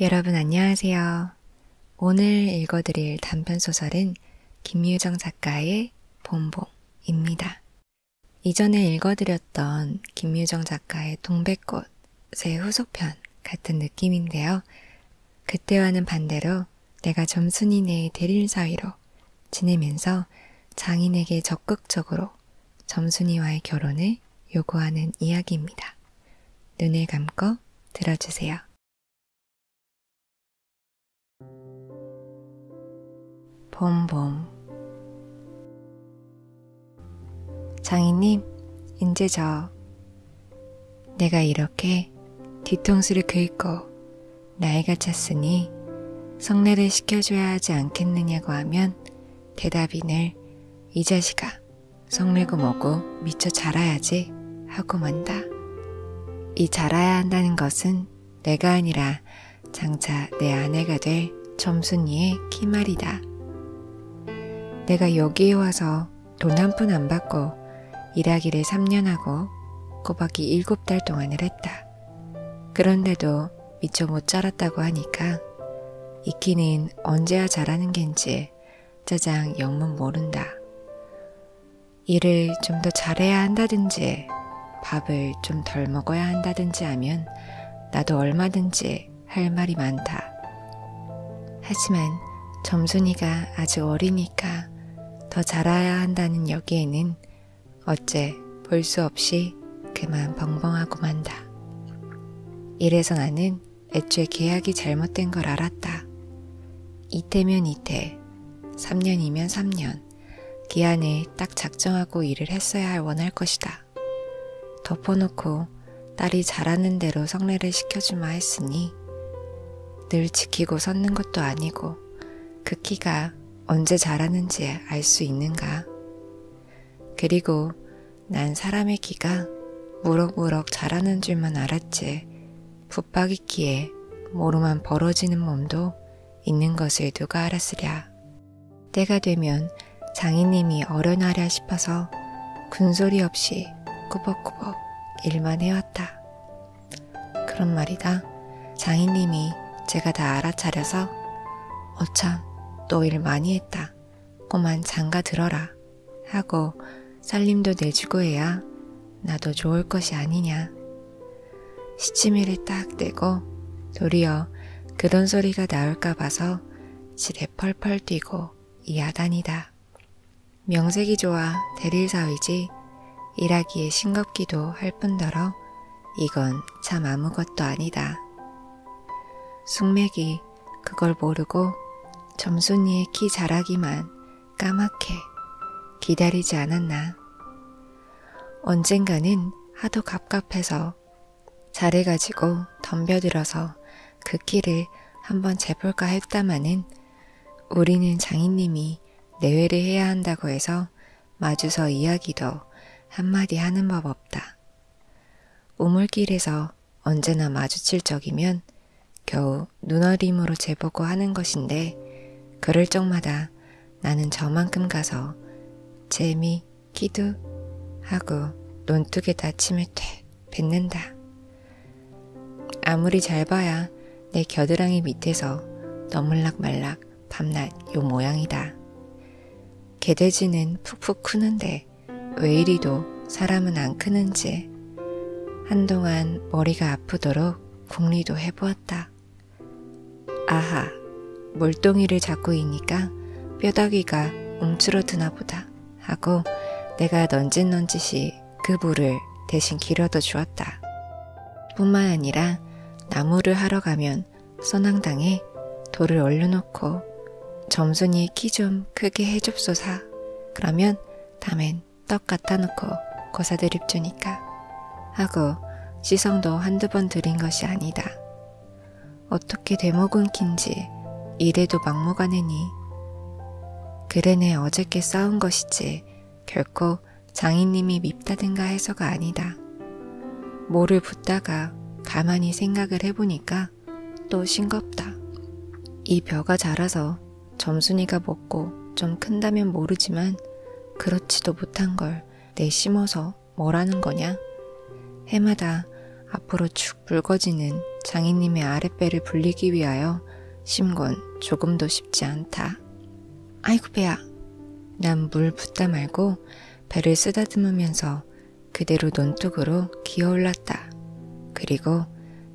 여러분 안녕하세요. 오늘 읽어드릴 단편 소설은 김유정 작가의 봄봄입니다. 이전에 읽어드렸던 김유정 작가의 동백꽃의 후속편 같은 느낌인데요. 그때와는 반대로 내가 점순이네 대릴 사이로 지내면서 장인에게 적극적으로 점순이와의 결혼을 요구하는 이야기입니다. 눈을 감고 들어주세요. 봄봄 장인님, 이제 저 내가 이렇게 뒤통수를 긁고 나이가 찼으니 성례를 시켜줘야 하지 않겠느냐고 하면 대답이 늘 이 자식아 성내고 뭐고 미처 자라야지 하고 만다. 이 자라야 한다는 것은 내가 아니라 장차 내 아내가 될 점순이의 키말이다. 내가 여기에 와서 돈 한 푼 안 받고 일하기를 3년 하고 꼬박이 7달 동안을 했다. 그런데도 미처 못 자랐다고 하니까 이키는 언제야 자라는 겐지 짜장 영문 모른다. 일을 좀 더 잘해야 한다든지 밥을 좀 덜 먹어야 한다든지 하면 나도 얼마든지 할 말이 많다. 하지만 점순이가 아직 어리니까 더 잘해야 한다는 여기에는 어째 볼 수 없이 그만 벙벙하고 만다. 이래서 나는 애초에 계약이 잘못된 걸 알았다. 이태면 이태, 3년이면 3년, 기한을 딱 작정하고 일을 했어야 할 원할 것이다. 덮어놓고 딸이 잘하는 대로 성례를 시켜주마 했으니 늘 지키고 섰는 것도 아니고 그 키가 언제 잘하는지 알 수 있는가. 그리고 난 사람의 기가 무럭무럭 자라는 줄만 알았지 붙박이 키에 모로만 벌어지는 몸도 있는 것을 누가 알았으랴. 때가 되면 장인님이 어련하랴 싶어서 군소리 없이 꾸벅꾸벅 일만 해왔다. 그런 말이다. 장인님이 제가 다 알아차려서 어참 너 일 많이 했다. 꼬만 장가 들어라 하고 살림도 내주고 해야 나도 좋을 것이 아니냐. 시치미를 딱 떼고 도리어 그런 소리가 나올까 봐서 지레 펄펄 뛰고 이하다니다. 명색이 좋아 대릴사위지 일하기에 싱겁기도 할 뿐더러 이건 참 아무것도 아니다. 숙맥이 그걸 모르고 점순이의 키 자라기만 까맣게 기다리지 않았나. 언젠가는 하도 갑갑해서 자를 가지고 덤벼들어서 그 키를 한번 재볼까 했다마는 우리는 장인님이 내외를 해야 한다고 해서 마주서 이야기도 한마디 하는 법 없다. 우물길에서 언제나 마주칠 적이면 겨우 눈어림으로 재보고 하는 것인데 그럴 적마다 나는 저만큼 가서 재미, 끼두 하고 논뚝에 다침을 퇴 뱉는다. 아무리 잘 봐야 내 겨드랑이 밑에서 너물락말락 밤낮 요 모양이다. 개돼지는 푹푹 크는데 왜 이리도 사람은 안 크는지 한동안 머리가 아프도록 궁리도 해보았다. 아하, 물동이를 잡고 이니까 뼈다귀가 움츠러드나 보다 하고 내가 넌짓넌짓이 그 물을 대신 길어도 주었다. 뿐만 아니라 나무를 하러 가면 선앙당에 돌을 얼려놓고 점순이 키 좀 크게 해줍소사. 그러면 다음엔 떡 갖다 놓고 고사드립 주니까 하고 시성도 한두 번 들인 것이 아니다. 어떻게 대목은 킨지 이래도 막무가내니 그래네 어저께 싸운 것이지 결코 장인님이 밉다든가 해서가 아니다. 뭐를 붙다가 가만히 생각을 해보니까 또 싱겁다. 이 벼가 자라서 점순이가 먹고 좀 큰다면 모르지만 그렇지도 못한 걸 내심어서 뭐라는 거냐? 해마다 앞으로 축 붉어지는 장인님의 아랫배를 불리기 위하여 심건 조금도 쉽지 않다. 아이고 배야. 난 물 붓다 말고 배를 쓰다듬으면서 그대로 논뚝으로 기어올랐다. 그리고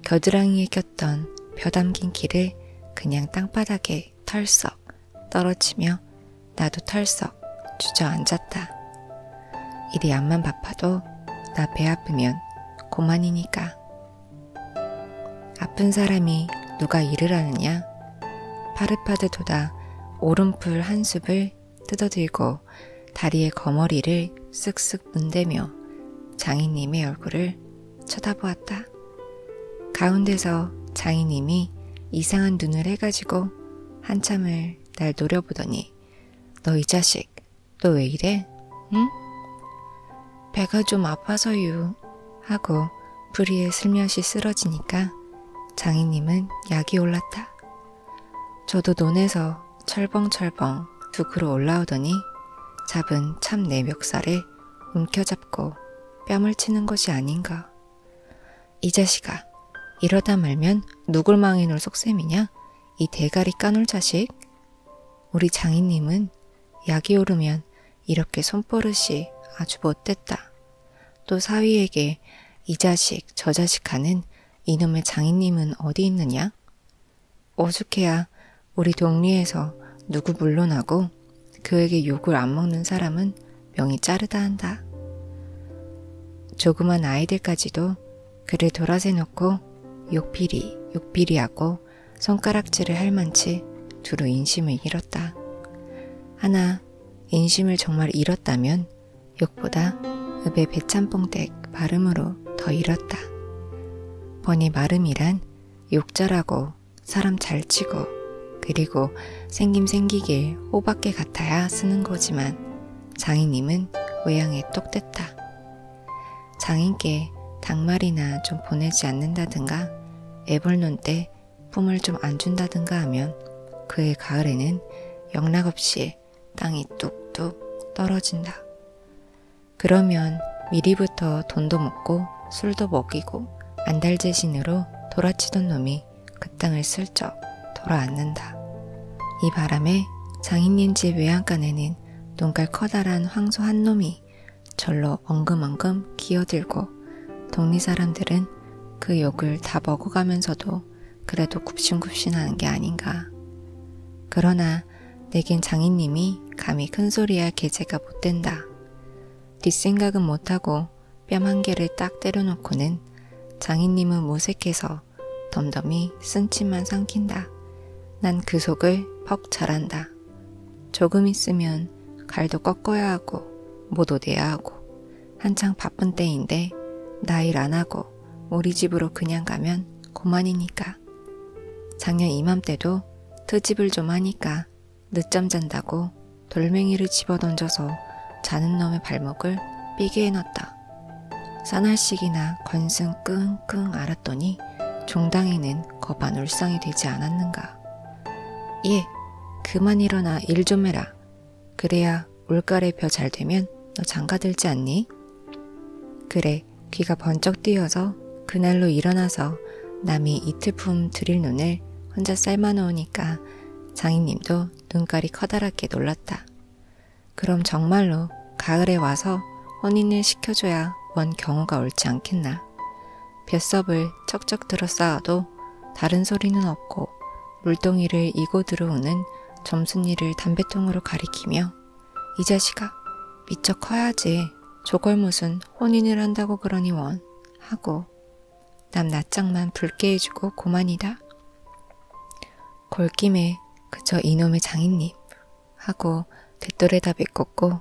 겨드랑이에 펼쳤던 벼담긴 키를 그냥 땅바닥에 털썩 떨어지며 나도 털썩 주저앉았다. 일이 안만 바빠도 나 배 아프면 고만이니까. 아픈 사람이 누가 일을 하느냐? 파릇파릇 도다 오름풀 한 숲을 뜯어들고 다리의 거머리를 쓱쓱 문대며 장인님의 얼굴을 쳐다보았다. 가운데서 장인님이 이상한 눈을 해가지고 한참을 날 노려보더니 너 이 자식 너 왜 이래? 응? 배가 좀 아파서유 하고 부리에 슬며시 쓰러지니까 장인님은 약이 올랐다. 저도 논에서 철벙철벙 두 그루 올라오더니 잡은 참 내 멱살을 움켜잡고 뺨을 치는 것이 아닌가. 이 자식아, 이러다 말면 누굴 망해놓을 속셈이냐? 이 대가리 까놀 자식? 우리 장인님은 약이 오르면 이렇게 손버릇이 아주 못됐다. 또 사위에게 이 자식, 저 자식 하는 이놈의 장인님은 어디 있느냐? 오죽해야 우리 동리에서 누구 물론하고 그에게 욕을 안 먹는 사람은 명이 짜르다 한다. 조그만 아이들까지도 그를 돌아세 놓고 욕비리, 욕비리하고 손가락질을 할 만치 두루 인심을 잃었다. 하나, 인심을 정말 잃었다면 욕보다 읍의 배찬뽕댁 발음으로 더 잃었다. 보니 마름이란 욕자라고 사람 잘 치고 그리고 생김 생기길 호밖에 같아야 쓰는 거지만 장인님은 외양에 똑됐다. 장인께 닭말이나 좀 보내지 않는다든가 애벌논 때 뿜을 좀 안 준다든가 하면 그해 가을에는 영락없이 땅이 뚝뚝 떨어진다. 그러면 미리부터 돈도 먹고 술도 먹이고 안달재신으로 돌아치던 놈이 그 땅을 슬쩍 돌아앉는다. 이 바람에 장인님 집 외양간에는 눈깔 커다란 황소 한 놈이 절로 엉금엉금 기어들고 동리 사람들은 그 욕을 다 먹어가면서도 그래도 굽신굽신하는 게 아닌가. 그러나 있으나 내겐 장인님이 감히 큰소리할 계제가 못된다. 뒷생각은 못하고 뺨 한 개를 딱 때려놓고는 장인님은 무색해서 덤덤히 쓴침만 삼킨다. 난 그 속을 퍽 잘한다. 조금 있으면 갈도 꺾어야 하고 못 오대야 하고 한창 바쁜 때인데 나 일 안 하고 우리 집으로 그냥 가면 고만이니까 있었다. 작년 이맘때도 트집을 좀 하니까 늦잠 잔다고 돌멩이를 집어 던져서 자는 놈의 발목을 삐게 해놨다. 싸날식이나 건승 끙끙 앓았더니 종당이는 거반 울상이 되지 않았는가. 예, 그만 일어나 일 좀 해라. 그래야 올가래 벼잘 되면 너 장가들지 않니? 그래, 소리에 귀가 번쩍 뛰어서 그날로 일어나서 남이 이틀품 들일 눈을 혼자 삶아놓으니까 장인님도 눈깔이 커다랗게 놀랐다. 그럼 정말로 가을에 와서 혼인을 시켜줘야 원 경우가 옳지 않겠나. 뱃섭을 척척 들어 쌓아도 다른 소리는 없고 물동이를 이고 들어오는 점순이를 담배통으로 가리키며 이 자식아, 미쳐 커야지. 저걸 무슨 혼인을 한다고 그러니 원. 하고, 남 낯짝만 붉게 해주고 고만이다. 골김에 그저 이놈의 장인님. 하고, 대또에다 메꿨고,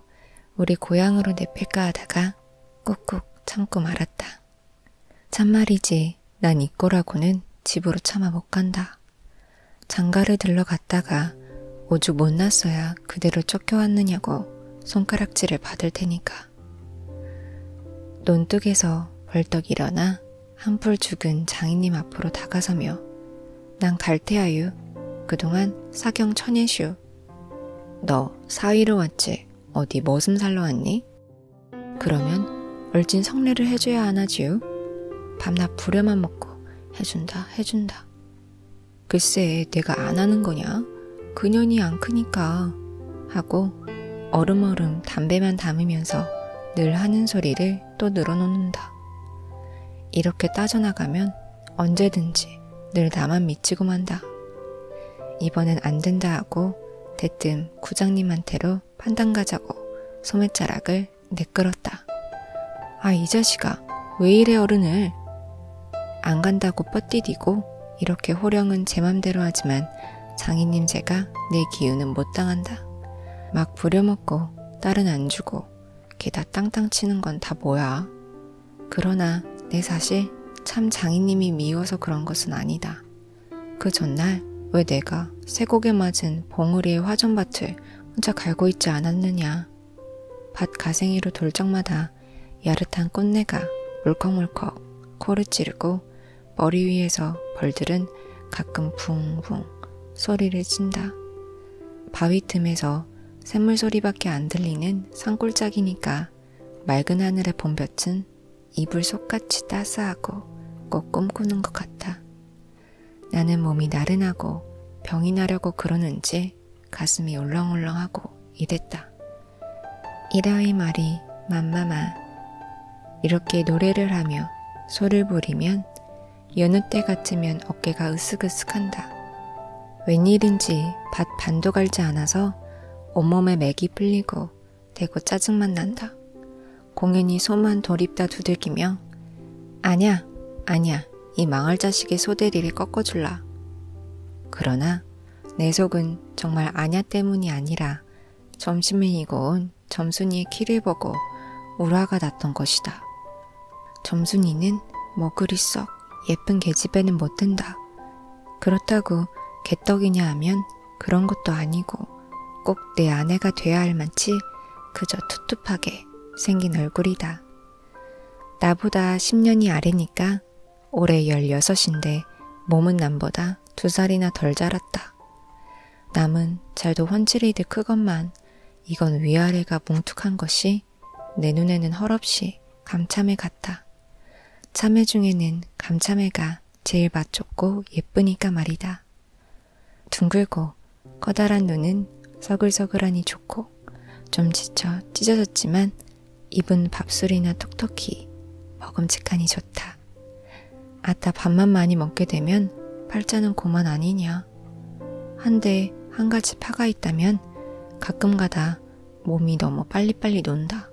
우리 고향으로 내필까 하다가 꾹꾹 참고 말았다. 참말이지, 난 이 꼬라고는 집으로 참아 못 간다. 장가를 들러갔다가 오죽 못났어야 그대로 쫓겨왔느냐고 손가락질을 받을 테니까. 논뚝에서 벌떡 일어나 한풀 죽은 장인님 앞으로 다가서며 난 갈태아유, 그동안 사경 천예슈. 너 사위로 왔지, 어디 머슴 살러 왔니? 그러면 얼진 성례를 해줘야 하나지요? 밤낮 부려만 먹고 해준다, 해준다. 글쎄, 내가 안 하는 거냐? 그년이 안 크니까. 하고 얼음얼음 담배만 담으면서 늘 하는 소리를 또 늘어놓는다. 이렇게 따져나가면 언제든지 늘 나만 미치고 만다. 이번엔 안 된다 하고 대뜸 구장님한테로 판단 가자고 소매자락을 내끌었다. 아, 이 자식아, 왜 이래 어른을? 안 간다고 뻗디디고 이렇게 호령은 제 맘대로 하지만 장인님 제가 내 기운은 못 당한다. 막 부려먹고 딸은 안 주고 게다 땅땅 치는 건 다 뭐야. 그러나 내 사실 참 장인님이 미워서 그런 것은 아니다. 그 전날 왜 내가 쇠고개 맞은 봉우리의 화전밭을 혼자 갈고 있지 않았느냐. 밭 가생이로 돌적마다 야릇한 꽃내가 물컥물컥 코를 찌르고 머리 위에서 벌들은 가끔 붕붕 소리를 친다. 바위 틈에서 샘물 소리밖에 안 들리는 산골짜기니까 맑은 하늘의 봄볕은 이불 속같이 따스하고 꼭 꿈꾸는 것 같아. 나는 몸이 나른하고 병이 나려고 그러는지 가슴이 울렁울렁하고 이랬다. 이라의 말이 맘마마 이렇게 노래를 하며 소를 부리면 여느 때 같으면 어깨가 으쓱으쓱한다. 웬일인지 밭 반도 갈지 않아서 온몸에 맥이 풀리고 되고 짜증만 난다. 공연히 소만 돌입다 두들기며 아냐 아냐 이 망할 자식의 소대리를 꺾어줄라. 그러나 내 속은 정말 아냐 때문이 아니라 점심이고 온 점순이의 키를 보고 오라가 났던 것이다. 점순이는 뭐 그리 썩 예쁜 계집애는 못 든다. 그렇다고 개떡이냐 하면 그런 것도 아니고 꼭 내 아내가 돼야 할 만치 그저 투투하게 생긴 얼굴이다. 나보다 10년이 아래니까 올해 16인데 몸은 남보다 2살이나 덜 자랐다. 남은 잘도 헌칠이듯 크건만 이건 위아래가 뭉툭한 것이 내 눈에는 헐없이 감참해 같다. 참외 중에는 감참해가 제일 맛좋고 예쁘니까 말이다. 둥글고 커다란 눈은 서글서글하니 좋고 않고 좀 지쳐 찢어졌지만 입은 밥술이나 톡톡히 먹음직하니 좋다. 아따 밥만 많이 먹게 되면 팔자는 고만 아니냐. 한데 한 가지 파가 있다면 가끔가다 몸이 너무 빨리빨리 논다.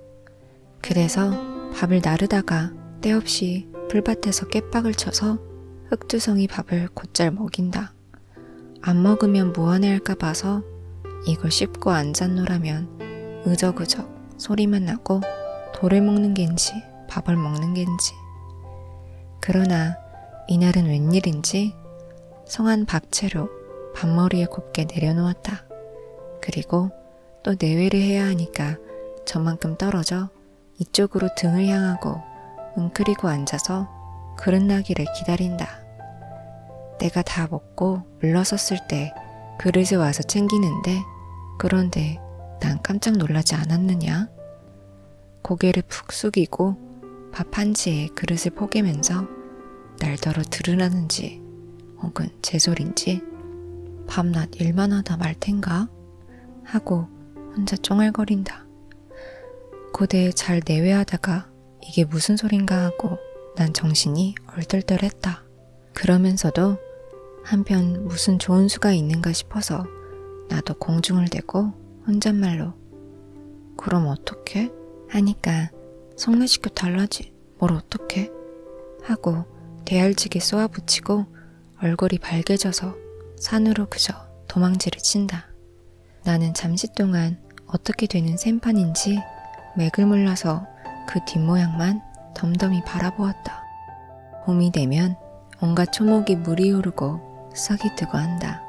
그래서 밥을 나르다가 때없이 풀밭에서 깨박을 쳐서 흙두성이 밥을 곧잘 먹인다. 먹어라. 안 먹으면 무안해할까 뭐 봐서 이걸 씹고 앉았노라면 으적으적 소리만 나고 돌을 먹는 겐지 밥을 먹는 겐지. 그러나 이날은 웬일인지 성한 박채로 밥머리에 곱게 내려놓았다. 그리고 또 내외를 해야 하니까 저만큼 떨어져 이쪽으로 등을 향하고 웅크리고 앉아서 그릇나기를 기다린다. 내가 다 먹고 물러섰을 때 그릇에 와서 챙기는데 그런데 난 깜짝 놀라지 않았느냐? 고개를 푹 숙이고 밥 한지에 그릇을 포개면서 날더러 들으라는지 혹은 제 소린지 밤낮 일만 하다 말 텐가? 하고 혼자 쫑알거린다. 고대에 잘 내외하다가 이게 무슨 소린가 하고 난 정신이 얼떨떨했다. 그러면서도 한편 무슨 좋은 수가 있는가 싶어서 나도 공중을 대고 혼잣말로 그럼 어떻게? 하니까 성례시켜 달라지 뭘 어떻게? 하고 대알지게 쏘아붙이고 얼굴이 밝게져서 산으로 그저 도망지를 친다. 나는 잠시 동안 어떻게 되는 샘판인지 맥을 몰라서 그 뒷모양만 덤덤히 바라보았다. 봄이 되면 온갖 초목이 물이 오르고 싹이 뜨고 한다.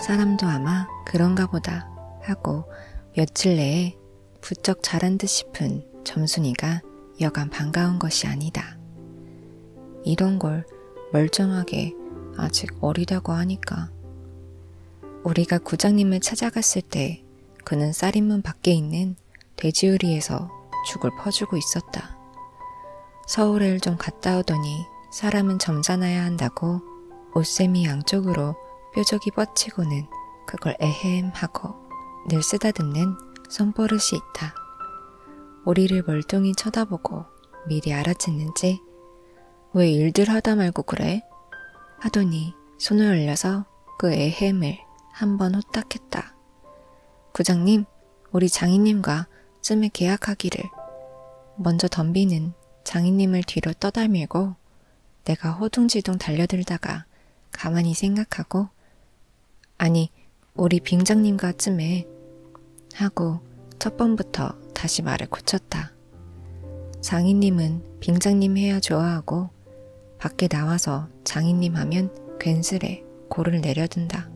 사람도 아마 그런가 보다 하고 며칠 내에 부쩍 자란 듯 싶은 점순이가 여간 반가운 것이 아니다. 이런 걸 멀쩡하게 아직 어리다고 하니까. 우리가 구장님을 찾아갔을 때 그는 쌀인문 밖에 있는 돼지우리에서 죽을 퍼주고 있었다. 서울을 좀 갔다 오더니 사람은 점잖아야 한다고 옷샘이 양쪽으로 뾰족이 뻗치고는 그걸 에헴 하고 늘 쓰다듬는 손버릇이 있다. 우리를 멀뚱히 쳐다보고 미리 알아챘는지 왜 일들 하다 말고 그래? 하더니 손을 올려서 그 애햄을 한번 호딱했다. 구장님, 우리 장인님과 쯤에 계약하기를. 먼저 덤비는 장인님을 뒤로 떠다밀고 내가 허둥지둥 달려들다가 가만히 생각하고 아니, 우리 빙장님과 쯤에 하고 첫 번부터 다시 말을 고쳤다. 장인님은 빙장님 해야 좋아하고 밖에 나와서 장인님 하면 괜스레 고를 내려든다.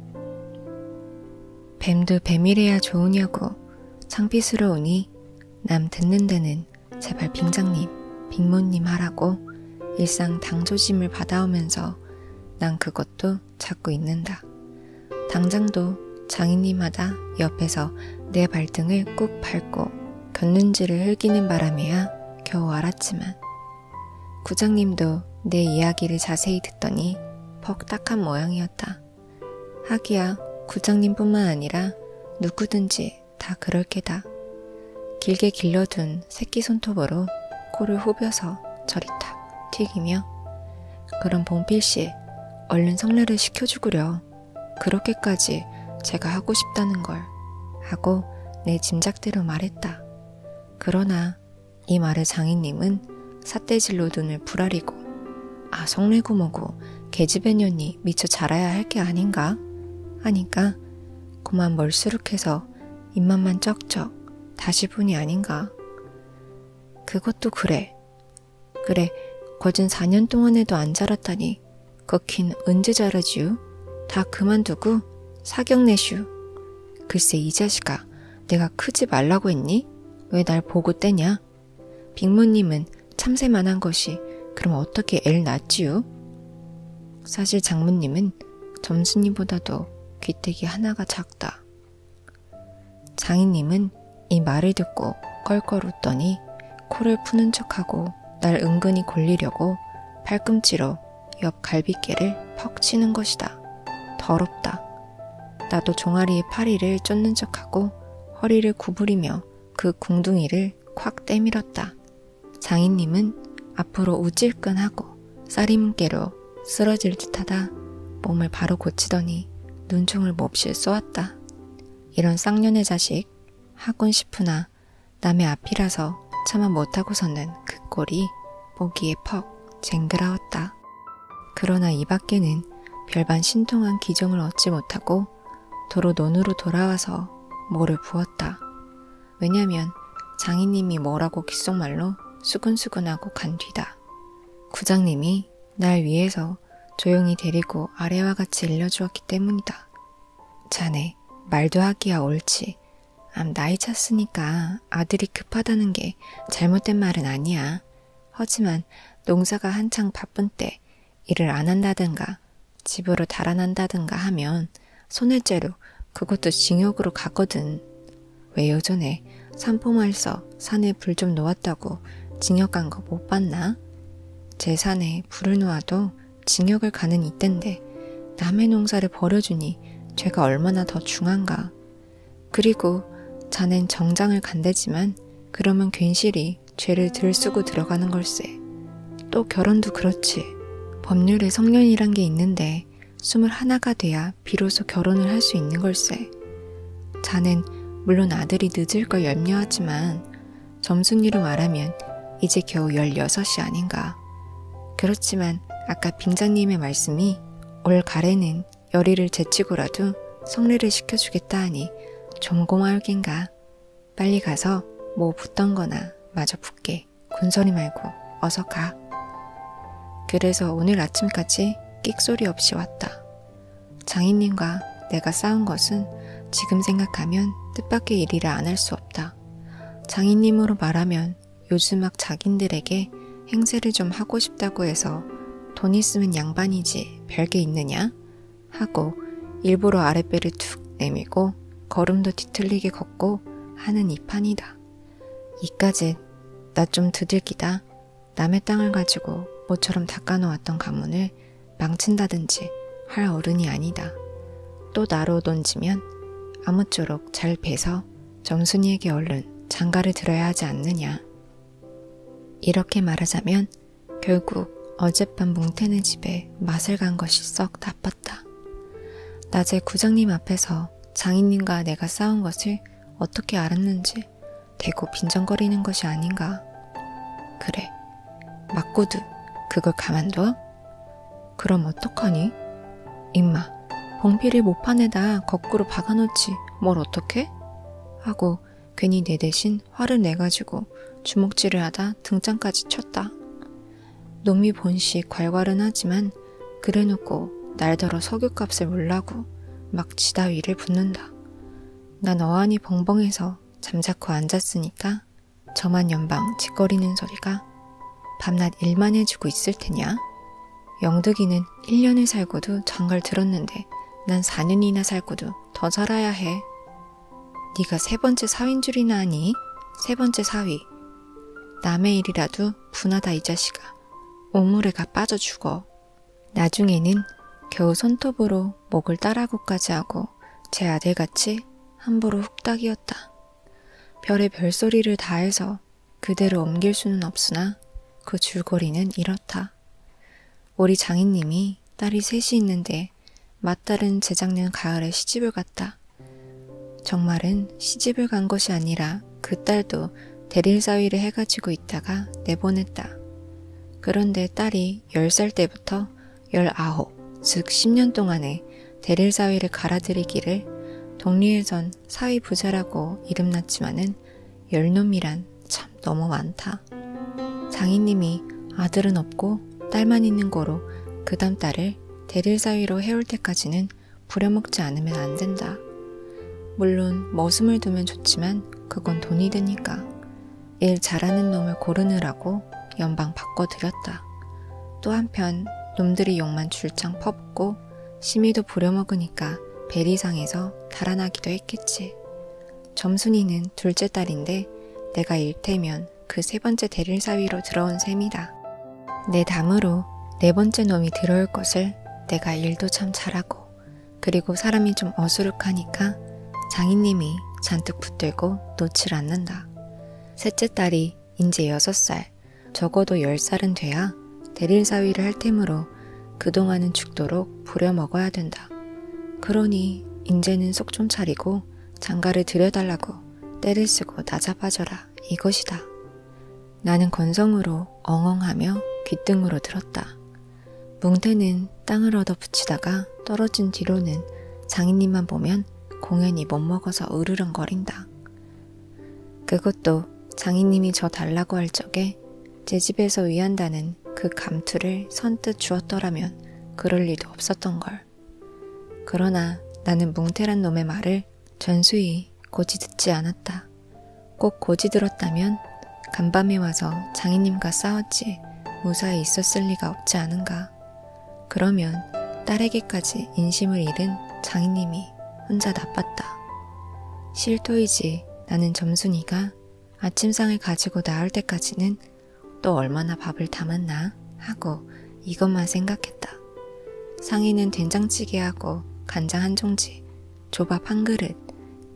뱀도 뱀이래야 좋으냐고 창피스러우니 남 듣는 데는 제발 빙장님, 빙모님 하라고 일상 당조심을 받아오면서 난 그것도 찾고 있는다. 당장도 장인님마다 옆에서 내 발등을 꾹 밟고 겼는지를 흘기는 바람에야 겨우 알았지만 구장님도 내 이야기를 자세히 듣더니 퍽딱한 모양이었다. 하기야 구장님뿐만 아니라 누구든지 다 그럴 게다. 길게 길러둔 새끼 손톱으로 코를 후벼서 저리 탁 튀기며 그럼 봉필씨, 얼른 성례를 시켜주구려. 그렇게까지 제가 하고 싶다는 걸 하고 내 짐작대로 말했다. 그러나 이 말에 장인님은 삿대질로 눈을 부라리고 아 성례고 뭐고 계집애년이 미처 자라야 할 게 아닌가 하니까 그만 멀수룩해서 입맛만 쩍쩍 다시 분이 아닌가 그것도 그래 그래, 거진 4년 동안 해도 안 자랐다니. 거긴 언제 자라지요? 다 그만두고 사경내슈. 글쎄 이 자식아, 내가 크지 말라고 했니? 왜 날 보고 떼냐? 빅모님은 참새만한 것이 그럼 어떻게 애를 낳지요? 사실 장모님은 점순이보다도 귀때기 하나가 작다. 장인님은 이 말을 듣고 껄껄 웃더니 코를 푸는 척하고 날 은근히 골리려고 팔꿈치로 옆 갈비뼈를 퍽 치는 것이다. 더럽다. 나도 종아리의 파리를 쫓는 척하고 허리를 구부리며 그 궁둥이를 콱 때밀었다. 장인님은 앞으로 우찔끈하고 싸림개로 쓰러질 듯하다 몸을 바로 고치더니 눈총을 몹시 쏘았다. 이런 쌍년의 자식 하곤 싶으나 남의 앞이라서 차마 못하고서는 그 꼴이 보기에 퍽 쟁그라웠다. 그러나 이 밖에는 별반 신통한 기정을 얻지 못하고 도로 논으로 돌아와서 모를 부었다. 왜냐면 장인님이 뭐라고 귓속말로 수근수근하고 간 뒤다. 구장님이 날 위해서 조용히 데리고 아래와 같이 일러주었기 때문이다. 자네, 말도 하기야 옳지. 암 나이 찼으니까 아들이 급하다는 게 잘못된 말은 아니야. 하지만 농사가 한창 바쁜 때 일을 안 한다든가 집으로 달아난다든가 하면 손해죄로 그것도 징역으로 가거든. 왜 요전에 산포마을서 산에 불 좀 놓았다고 징역 간 거 못 봤나? 제 산에 불을 놓아도 징역을 가는 이땐데 남의 농사를 버려주니 죄가 얼마나 더 중한가. 그리고 자넨 정장을 간대지만 그러면 괜시리 죄를 들쓰고 들어가는 걸세. 또 결혼도 그렇지. 법률에 성년이란 게 있는데 스물 하나가 돼야 비로소 결혼을 할 수 있는 걸세. 있었는데 자는 물론 아들이 늦을 걸 염려하지만 점순이로 말하면 이제 겨우 16시 아닌가. 그렇지만 아까 빙장님의 말씀이 올 가래는 열의를 제치고라도 성례를 시켜주겠다 하니 좀 고마울 겐가. 빨리 가서 뭐 붙던 거나 마저 붙게 군소리 말고 어서 가. 그래서 오늘 아침까지 끽소리 없이 왔다. 장인님과 내가 싸운 것은 지금 생각하면 뜻밖의 일이라 안 할 수 없다. 장인님으로 말하면 요즘 막 자기들에게 행세를 좀 하고 싶다고 해서 돈 있으면 양반이지 별게 있느냐? 하고 일부러 아랫배를 툭 내밀고 걸음도 뒤틀리게 걷고 하는 이 판이다. 이까짓 나좀 드들기다 남의 땅을 가지고 모처럼 닦아놓았던 가문을 망친다든지 할 어른이 아니다. 또 나로 던지면 아무쪼록 잘 배서 점순이에게 얼른 장가를 들어야 하지 않느냐. 이렇게 말하자면 결국 어젯밤 뭉태는 집에 맛을 간 것이 썩 나빴다. 낮에 구장님 앞에서 장인님과 내가 싸운 것을 어떻게 알았는지 대고 빈정거리는 것이 아닌가. 그래, 맞고두 그걸 가만둬? 그럼 어떡하니? 임마, 봉필이 모판에다 거꾸로 박아놓지 뭘 어떡해? 하고 괜히 내 대신 화를 내가지고 주먹질을 하다 등장까지 쳤다. 놈이 본식 괄괄은 하지만 그래놓고 날더러 석유값을 몰라고 막 지다위를 붙는다. 난 어안이 벙벙해서 잠자코 앉았으니까 저만 연방 짓거리는 소리가 밤낮 일만 해주고 있을 테냐? 영득이는 1년을 살고도 장갈 들었는데 난 4년이나 살고도 더 살아야 해. 네가 세 번째 사위인 줄이나 하니? 세 번째 사위. 남의 일이라도 분하다 이 자식아. 오물에가 빠져 죽어. 나중에는 겨우 손톱으로 목을 따라고까지 하고 제 아들같이 함부로 훅딱이었다. 별의 별소리를 다해서 그대로 옮길 수는 없으나 그 줄거리는 이렇다. 우리 장인님이 딸이 셋이 있는데 맞다른 재작년 가을에 시집을 갔다. 정말은 시집을 간 것이 아니라 그 딸도 대릴사위를 해가지고 있다가 내보냈다. 그런데 딸이 그들이 10살 때부터 19, 즉 10년 동안의 대릴 사회를 갈아들이기를 독리에선 사회 부자라고 이름났지만은 열놈이란 참 너무 많다. 장인님이 아들은 없고 딸만 있는 거로 그 다음 딸을 대릴 사위로 해올 때까지는 부려먹지 않으면 안 된다. 물론 머슴을 두면 좋지만 그건 돈이 드니까. 일 잘하는 놈을 고르느라고 연방 바꿔드렸다. 또 한편 놈들이 욕만 줄창 퍼붓고 심의도 부려먹으니까 배리상에서 달아나기도 했겠지. 점순이는 둘째 딸인데 내가 일테면 그 세 번째 대릴 사위로 들어온 셈이다. 내 담으로 네 번째 놈이 들어올 것을 내가 일도 참 잘하고 그리고 사람이 좀 어수룩하니까 장인님이 잔뜩 붙들고 놓질 않는다. 셋째 딸이 이제 여섯 살, 적어도 열 살은 돼야 대릴사위를 할 템으로 그동안은 죽도록 부려먹어야 된다. 그러니 이제는 속 좀 차리고 장가를 들여달라고 때를 쓰고 낮아빠져라 이것이다. 나는 건성으로 엉엉하며 귓등으로 들었다. 뭉태는 땅을 얻어 붙이다가 떨어진 뒤로는 장인님만 보면 공연히 못 먹어서 으르렁거린다. 그것도 장인님이 저 달라고 할 적에 제 집에서 위한다는 그 감투를 선뜻 주었더라면 그럴 리도 없었던 걸. 그러나 나는 뭉태란 놈의 말을 전수히 고지 듣지 않았다. 꼭 고지 들었다면 간밤에 와서 장인님과 싸웠지. 무사히 있었을 리가 없지 않은가. 그러면 딸에게까지 인심을 잃은 장인님이 혼자 나빴다. 실토이지 나는 점순이가 아침상을 가지고 나올 때까지는 또 얼마나 밥을 담았나 하고 이것만 생각했다. 상인은 된장찌개하고 간장 한 종지, 조밥 한 그릇,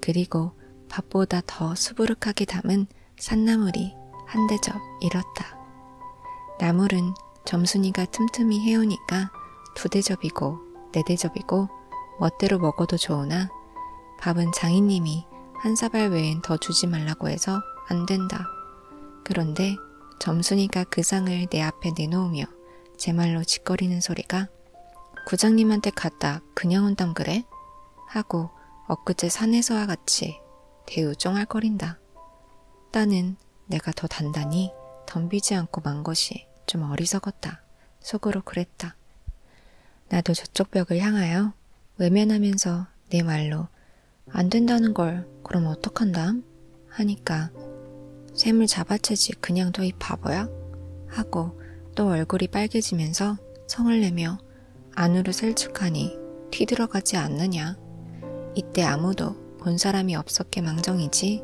그리고 밥보다 더 수부룩하게 담은 산나물이 한 대접 잃었다. 나물은 점순이가 틈틈이 해오니까 두 대접이고 네 대접이고 멋대로 먹어도 좋으나 밥은 장인님이 한 사발 외엔 더 주지 말라고 해서 안 된다. 그런데 점순이가 그 상을 내 앞에 내놓으며 제 말로 짓거리는 소리가 구장님한테 갔다 그냥 온담 그래? 하고 엊그제 산에서와 같이 대우종할거린다. 나는 내가 더 단단히 덤비지 않고 만 것이 좀 어리석었다. 속으로 그랬다. 나도 저쪽 벽을 향하여 외면하면서 내 말로 안 된다는 걸 그럼 어떡한담? 하니까 샘을 잡아채지 그냥 둬이 바보야? 하고 또 얼굴이 빨개지면서 성을 내며 안으로 설축하니 뒤들어가지 않느냐. 이때 아무도 본 사람이 없었게 망정이지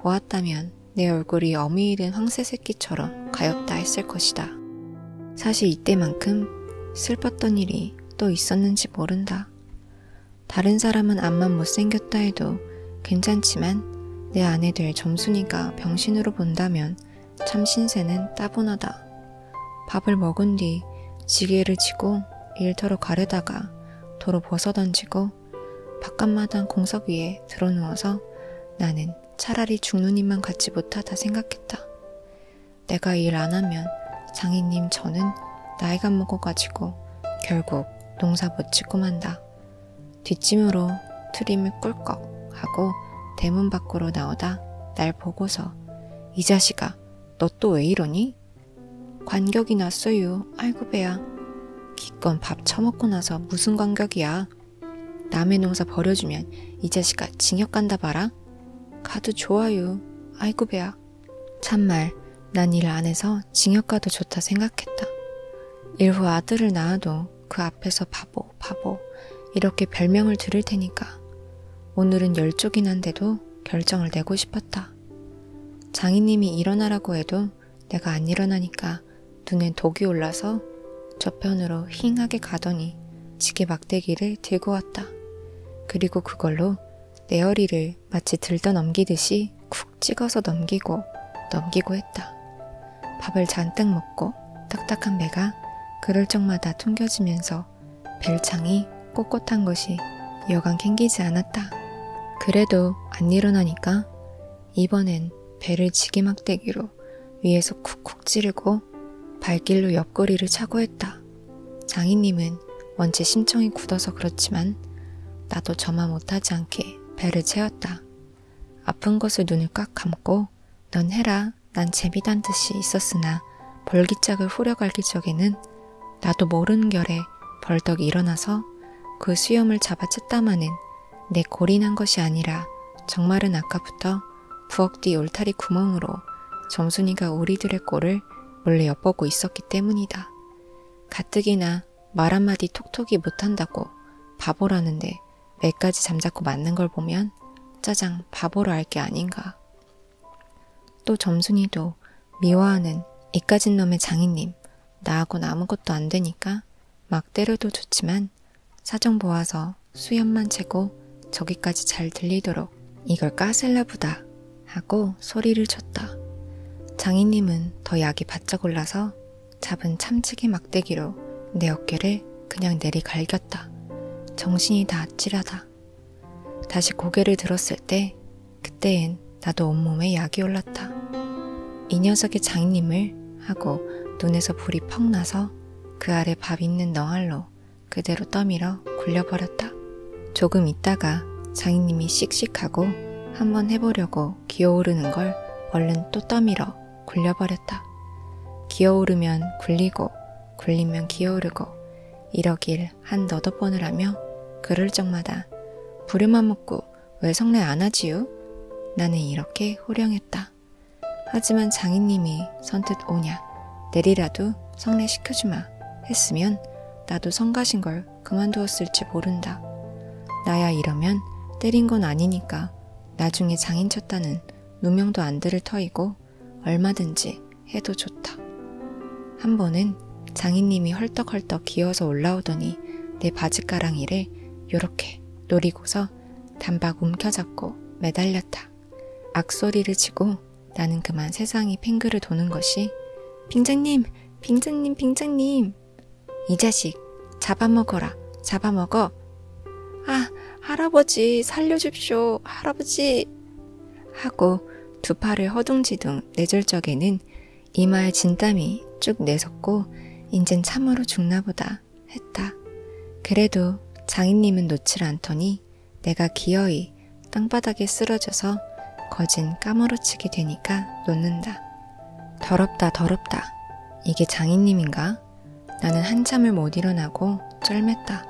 보았다면 내 얼굴이 어미이 된 황새 새끼처럼 가엾다 했을 것이다. 사실 이때만큼 슬펐던 일이 또 있었는지 모른다. 다른 사람은 암만 못생겼다 해도 괜찮지만 내 아내들 점순이가 병신으로 본다면 참신세는 따분하다. 밥을 먹은 뒤 지게를 치고 일터로 가려다가 도로 벗어던지고 바깥마당 공석 위에 드러누워서 나는 차라리 죽는 이만 같지 못하다 생각했다. 내가 일 안 하면 장인님 저는 나이가 먹어가지고 결국 농사 못 짓고 만다. 뒷짐으로 트림을 꿀꺽 하고 대문 밖으로 나오다 날 보고서 이 자식아 너 또 왜 이러니? 관격이 났어요. 아이고 배야. 기껏 밥 처먹고 나서 무슨 관격이야. 남의 농사 버려주면 이 자식아 징역 간다 봐라. 가도 좋아요. 아이고 배야. 참말 난 일 안 해서 징역 가도 좋다 생각했다. 일후 아들을 낳아도 그 앞에서 밥 바보, 바보 이렇게 별명을 들을 테니까 오늘은 열 쪽이나 데도 결정을 내고 싶었다. 장인님이 일어나라고 해도 내가 안 일어나니까 눈엔 독이 올라서 저편으로 힝하게 가더니 지게 막대기를 들고 왔다. 그리고 그걸로 내 허리를 마치 들떠 넘기듯이 쿡 찍어서 넘기고 넘기고 했다. 밥을 잔뜩 먹고 딱딱한 배가 그럴 적마다 퉁겨지면서 벨창이 꼿꼿한 것이 여간 캥기지 않았다. 그래도 안 일어나니까 이번엔 배를 지게막대기로 위에서 쿡쿡 찌르고 발길로 옆구리를 차고 했다. 장인님은 원체 심청이 굳어서 그렇지만 나도 저만 못하지 않게 배를 채웠다. 아픈 것을 눈을 꽉 감고 넌 해라 그러나 난 재미난 듯이 있었으나 벌기짝을 후려갈기 적에는 나도 모르는 결에 벌떡 일어나서 그 수염을 잡아챘다마는 내 고린한 것이 아니라 정말은 아까부터 부엌 뒤 울타리 구멍으로 점순이가 우리들의 꼴을 몰래 엿보고 있었기 때문이다. 가뜩이나 말 한마디 톡톡이 못한다고 바보라는데 매까지 잠자코 맞는 걸 보면 짜장 바보로 알게 아닌가. 또 점순이도 미워하는 이까진 놈의 장인님, 나하곤 아무것도 안 되니까 막 때려도 좋지만 사정 보아서 수염만 채고 저기까지 잘 들리도록 이걸 까슬라 보다 하고 소리를 쳤다. 장인님은 더 약이 바짝 올라서 잡은 참치기 막대기로 내 어깨를 그냥 내리갈겼다. 정신이 다 아찔하다. 다시 고개를 들었을 때 그때엔 나도 온몸에 약이 올랐다. 이 녀석의 장님을 하고 눈에서 불이 퍽 나서 그 아래 밥 있는 넝알로 그대로 떠밀어 굴려버렸다. 조금 있다가 장인님이 씩씩하고 한번 해보려고 기어오르는 걸 얼른 또 떠밀어 굴려버렸다. 기어오르면 굴리고 굴리면 기어오르고 이러길 한 너덟 번을 하며 그럴 적마다 부르만 먹고 왜 성례 안 하지요? 나는 이렇게 호령했다. 하지만 장인님이 선뜻 오냐 내리라도 성례 시켜주마 했으면 나도 성가신 걸 그만두었을지 모른다. 나야 이러면 때린 건 아니니까 나중에 장인 쳤다는 누명도 안 들을 터이고 얼마든지 해도 좋다. 한 번은 장인님이 헐떡헐떡 기어서 올라오더니 내 바지가랑이를 요렇게 노리고서 단박 움켜잡고 매달렸다. 악소리를 치고 나는 그만 세상이 핑그를 도는 것이 빙장님! 빙장님! 빙장님! 이 자식! 잡아먹어라! 잡아먹어! 아! 할아버지! 살려줍쇼! 할아버지! 하고 두 팔을 허둥지둥 내줄 적에는 이마에 진땀이 쭉 내섰고 인젠 참으로 죽나보다 했다. 그래도 장인님은 놓질 않더니 내가 기어이 땅바닥에 쓰러져서 거진 까무러치게 되니까 놓는다. 더럽다 더럽다. 이게 장인님인가? 나는 한참을 못 일어나고 쩔맸다.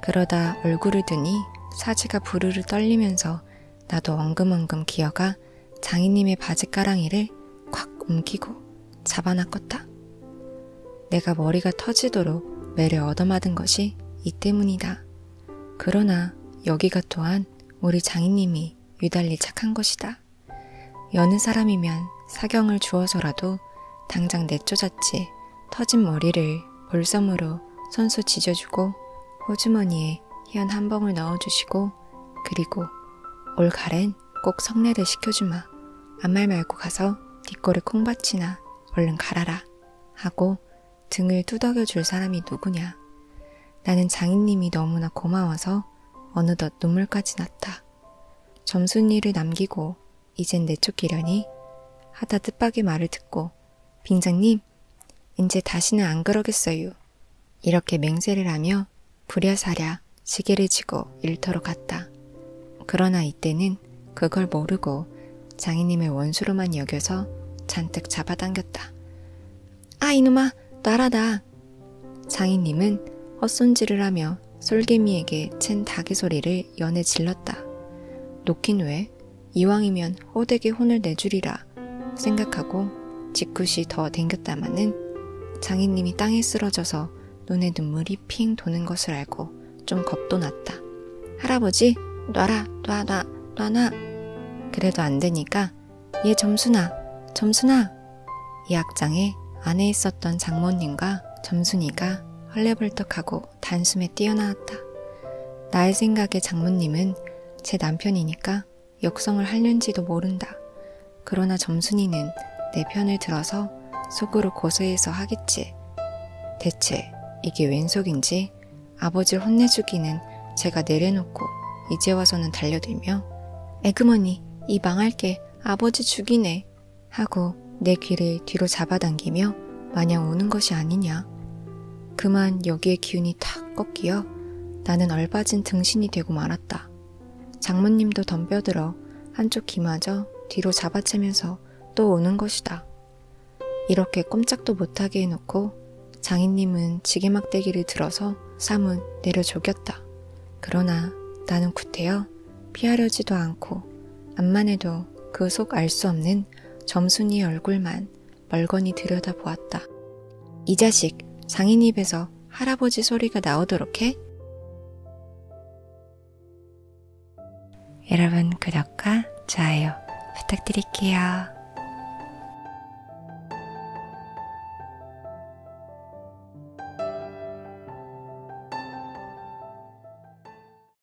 그러다 얼굴을 드니 사지가 부르르 떨리면서 나도 엉금엉금 기어가 장인님의 바지가랑이를 콱 움키고 잡아나 껐다. 내가 머리가 터지도록 매를 얻어맞은 것이 이 때문이다. 그러나 여기가 또한 우리 장인님이 유달리 착한 것이다. 여느 사람이면 사경을 주어서라도 당장 내쫓았지 터진 머리를 볼섬으로 손수 지져주고 호주머니에 희한 한 봉을 넣어주시고 그리고 올 가랜 꼭 성례를 시켜주마. 아무 말 말고 가서 뒷골을 콩밭이나 얼른 갈아라 하고 등을 두덕여 줄 사람이 누구냐. 나는 장인님이 너무나 고마워서 어느덧 눈물까지 났다. 점순이를 남기고 이젠 내쫓기려니? 하다 뜻밖의 말을 듣고 빙장님, 이제 다시는 안 그러겠어요. 이렇게 맹세를 하며 부랴사랴 시계를 지고 일터로 갔다. 그러나 이때는 그걸 모르고 장인님의 원수로만 여겨서 잔뜩 잡아당겼다. 아 이놈아 나라다. 장인님은 헛손질을 하며 솔개미에게 챈 닭의 소리를 듯이 연에 질렀다. 놓긴 왜? 이왕이면 호되게 혼을 내주리라 생각하고 직굿이 더 댕겼다마는 장인님이 땅에 쓰러져서 눈에 눈물이 핑 도는 것을 알고 좀 겁도 났다. 할아버지 놔라 놔놔 놔놔 그래도 안 되니까 얘 점순아 점순아 이 악장에 안에 있었던 장모님과 점순이가 헐레벌떡하고 하고 단숨에 뛰어나왔다. 나의 생각에 장모님은 제 남편이니까 역성을 할는지도 모른다. 그러나 점순이는 내 편을 들어서 속으로 고소해서 하겠지. 대체 이게 웬 속인지 아버지를 혼내주기는 제가 내려놓고 이제 와서는 달려들며 에그머니 이 망할 게 아버지 죽이네 하고 내 귀를 뒤로 잡아당기며 마냥 우는 것이 아니냐. 그만 여기에 기운이 탁 꺾이어 나는 얼빠진 등신이 되고 말았다. 장모님도 덤벼들어 한쪽 귀마저 뒤로 잡아채면서 또 우는 것이다. 이렇게 꼼짝도 못하게 해놓고 장인님은 지게막대기를 들어서 사문 내려 조겼다. 그러나 나는 구태여 피하려지도 않고 암만 해도 그 속 알 수 없는 점순이의 얼굴만 멀건히 들여다보았다. 이 자식, 장인 입에서 할아버지 소리가 나오도록 해? 여러분 구독과 좋아요 부탁드릴게요.